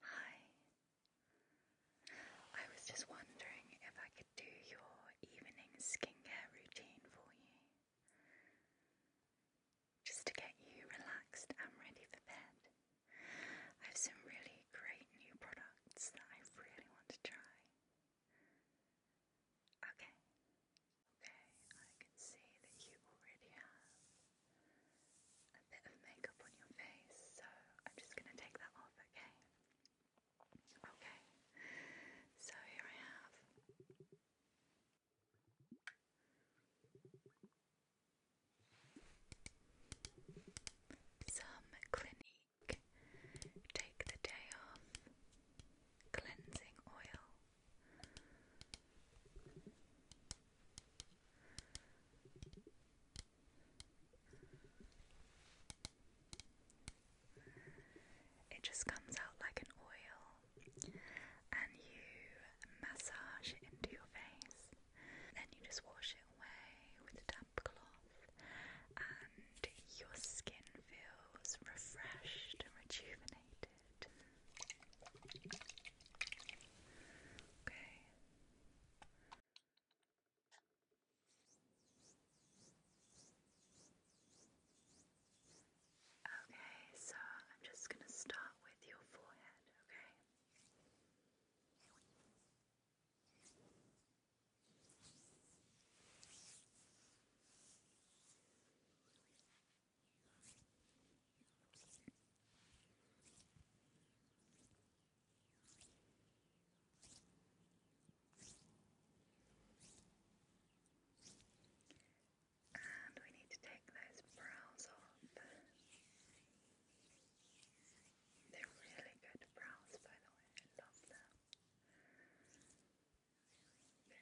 Hi. I was just wondering if I could do your evening skincare routine for you. Just to get you relaxed and ready for bed. I have some really great new products that I really want to try. Okay. Okay, I can see that you already have a bit of makeup on your face, so I'm just going to take that off, okay? Okay, so here I have some Clinique Take the Day Off Cleansing Oil. It just comes out like an oil, and you massage it into your face. Then you just wash it away with a damp cloth, and your skin feels refreshed and rejuvenated. Okay. Okay, so I'm just going to start with your forehead, okay? And we need to take those brows off. They're really good brows, by the way. I love them. Okay. Very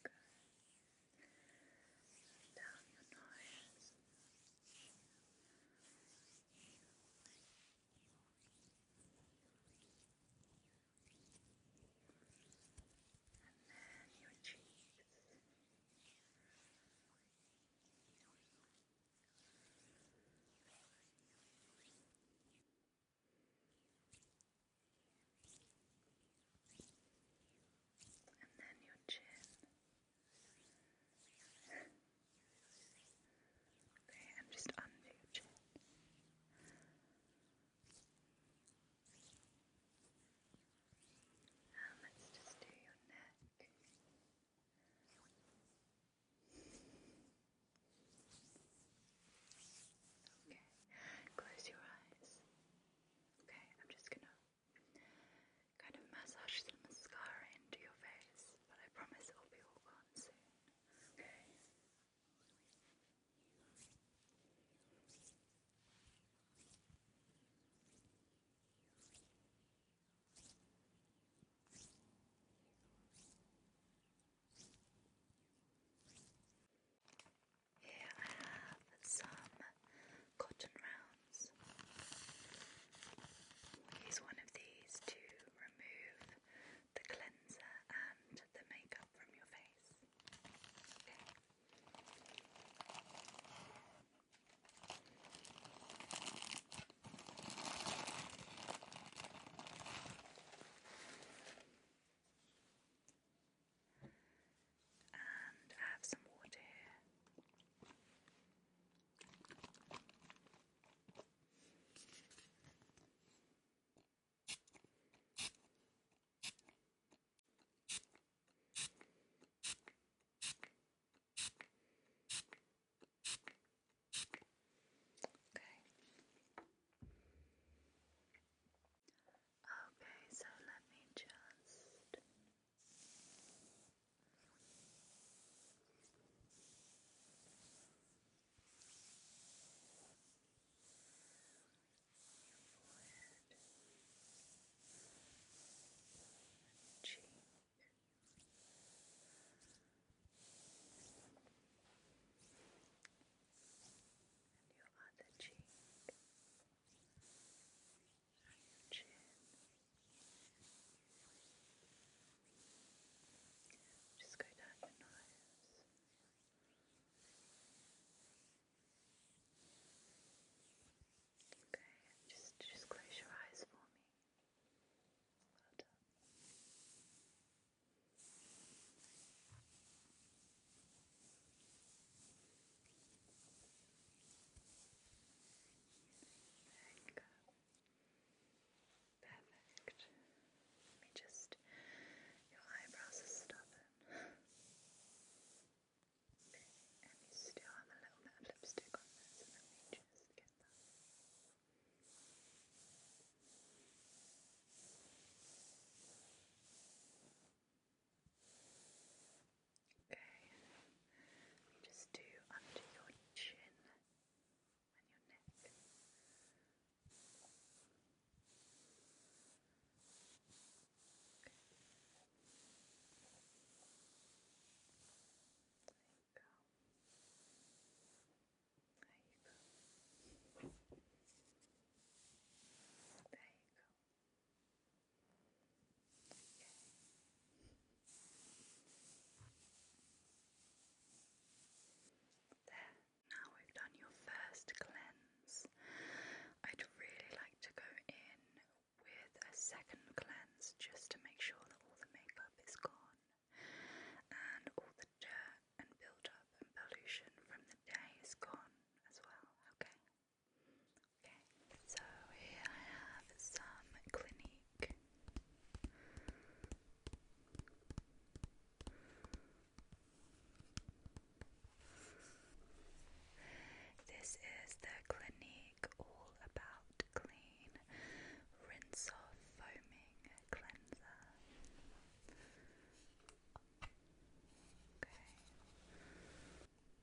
good down your nose. And then your cheeks and then your chin. okay, and just under your chin. And let's just do your neck. Okay, close your eyes. Okay, I'm just gonna kind of massage the mascara into your face, but I promise it'll be all gone soon. Okay. Here I have some cotton rounds. use one of these to remove the cleanser and the makeup from your face. And I have some water here. Okay. Okay, so let me just. forehead, cheek, and your other cheek, just go down your nose. Okay, just just close your eyes for me. Well done. There you Perfect. Let me just. Your eyebrows are stubborn. And you still have a little bit of lipstick on there, so let me just get that. Okay, let me just do under your chin and your neck. There you go. There you go. There you go. There, now we've done your first cleanse. I'd really like to go in with a second cleanse just to make sure that all the makeup is gone and all the dirt and build up and pollution from the day is gone as well, okay? so here I have some Clinique. This is the Clinique All About Clean Rinse Off Foaming Cleanser. Okay.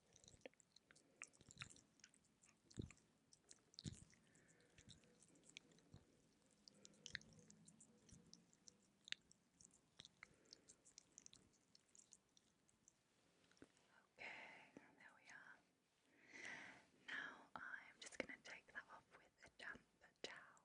Okay, there we are. Now I'm just going to take that off with a damp towel.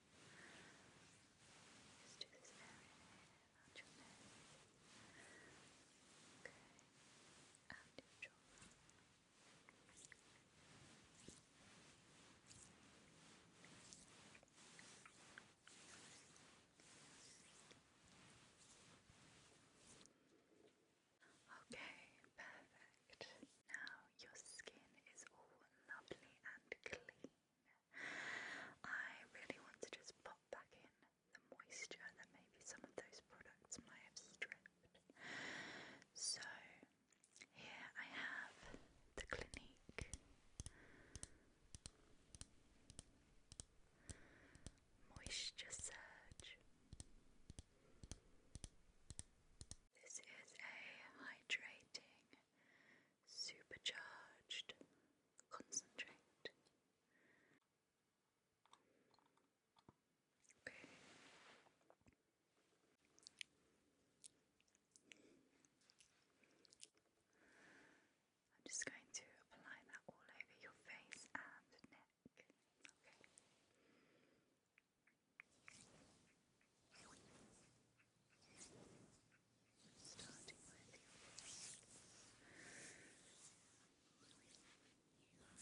Just do this area around your neck. Okay. And your jaw. Okay, perfect. Now your skin is all lovely and clean. I really want to just pop back in the moisture that maybe some of those products might have stripped. So here I have the Clinique Moisture Surge. This is a hydrating supercharged concentrate. Okay. I'm just going to apply that all over your face and neck. Okay starting with your face. Okay, down your nose,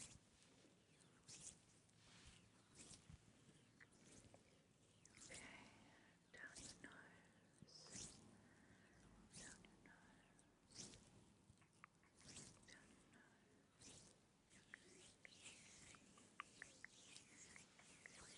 down your nose, down your nose.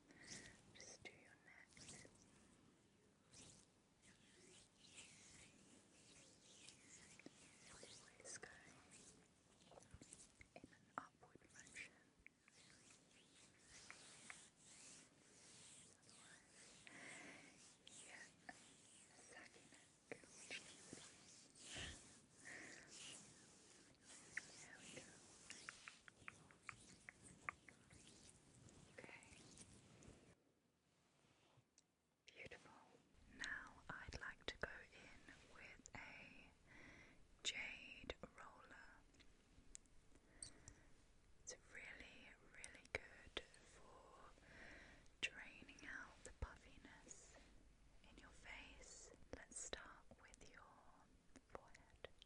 Just do your neck. Always go in an upward motion. Otherwise, yeah, neck. There we Now I'd like to go in with a jade roller. It's really, really good for draining out the puffiness in your face. Let's start with your forehead.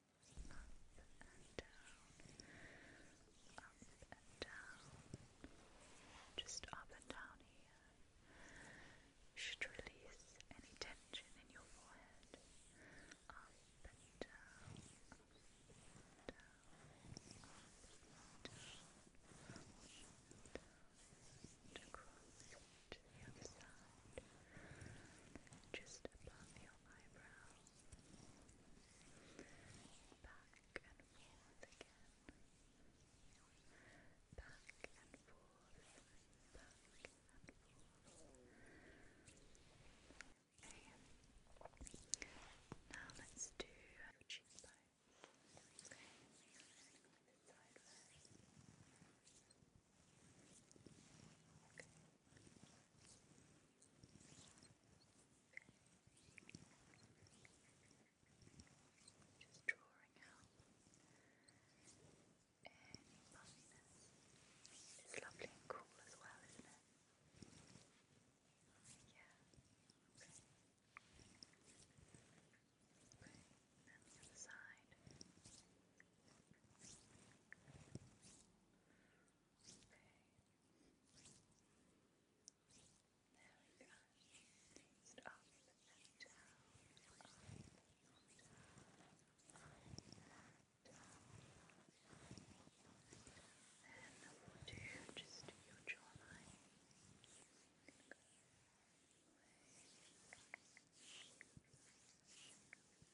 and down, up and down, just up and down here. Should release any tension in your forehead. Up and down, up and down, up and down, and across. Down, to the just above your eyebrow, back and forth again, back and forth, back and forth. Okay. Now let's do your Okay, just drawing out It's lovely and cool as well, isn't it? Yeah. Okay. Okay. And the other side we go. And up and down, up and down, up and down. Then we'll do just your jawline. Away. Away.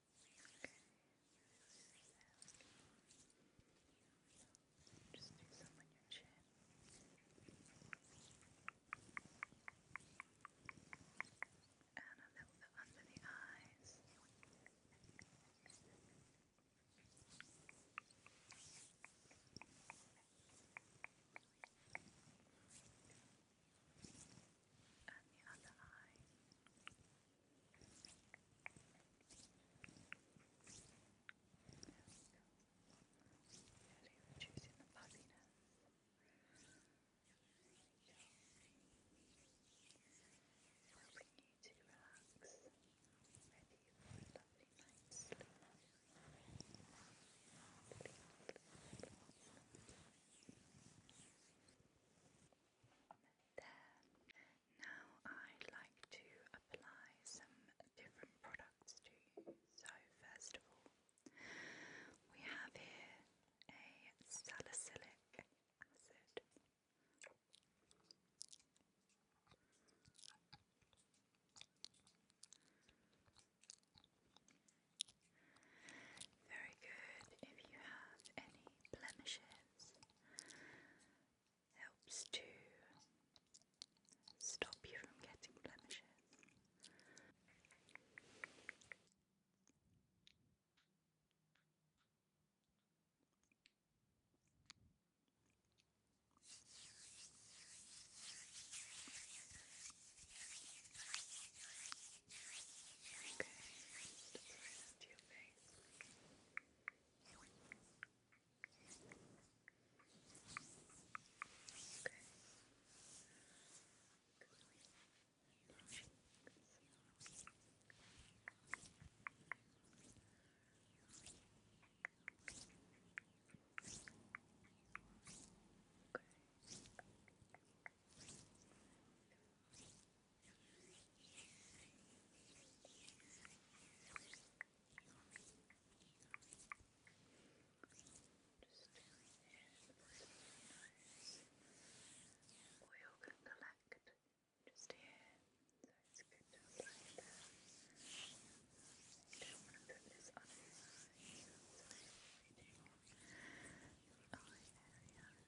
Just do some on your chin. And a little bit under the eyes and the other eye. Really reducing the puffiness. Helping you to relax, ready for a lovely night's sleep. Lovely, lovely, lovely there. Now I'd like to apply some different products to you. So first of all, we have here a salicylic acid. Very good. If you have any blemishes, helps to stop you from getting blemishes. Okay, closest to your face. Okay. Okay. Oil can collect just here, so it's good to apply that. You don't want to put this on your eye, so it's waiting on the eye area. I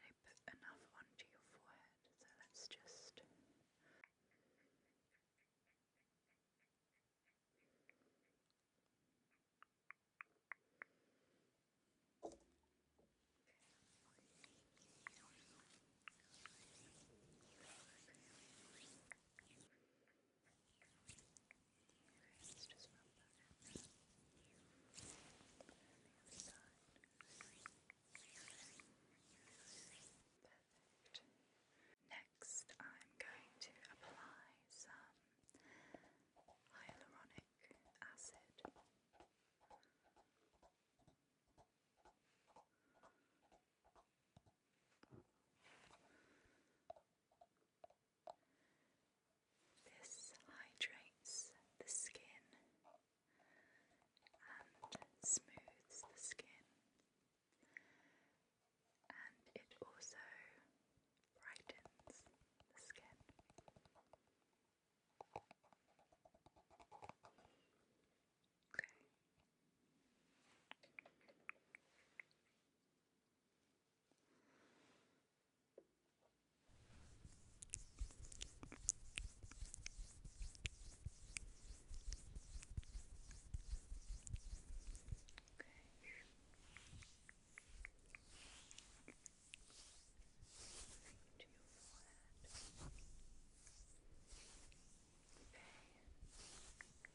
did really put enough onto your forehead, so let's just. It's just Next, I'm going to apply some hyaluronic acid. This hydrates the skin and smooths the skin, and it also brightens the skin. Okay. Okay. To your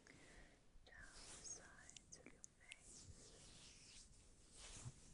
forehead. Okay down the sides of your face. Chin. Chin.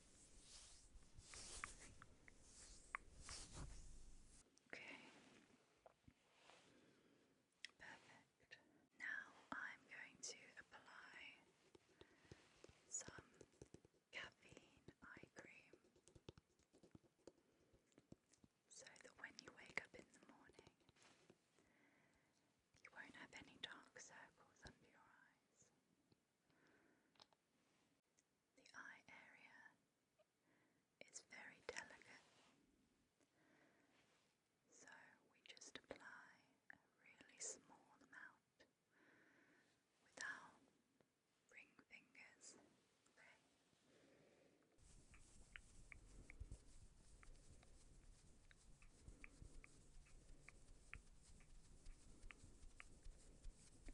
Okay. Perfect. Now I'm going to apply some caffeine eye cream so that when you wake up in the morning, you won't have any dark circles under your eyes. The eye area is very delicate, so we just apply a really small amount without ring fingers.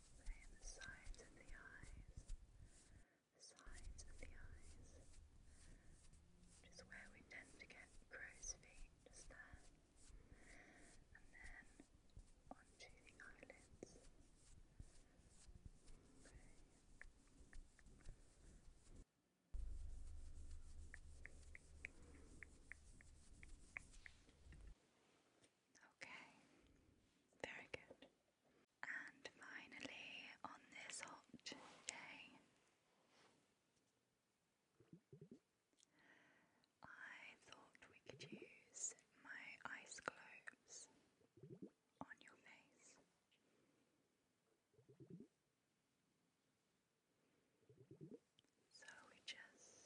Same the sides of the eyes. The sides of the eyes. Just where we tend to get crow's feet, just there. And then onto the eyelids. Okay, very good. And finally, on this hot day, I thought we could use my ice globes on your face. So we just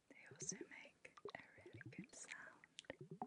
They also make a really good sound.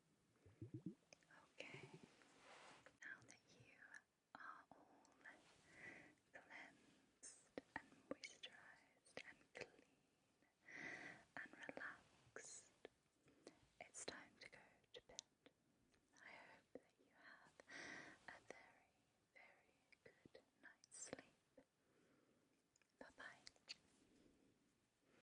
Okay, now that you are all cleansed and moisturized and clean and relaxed, it's time to go to bed. I hope that you have a very, very good night's sleep. Bye bye.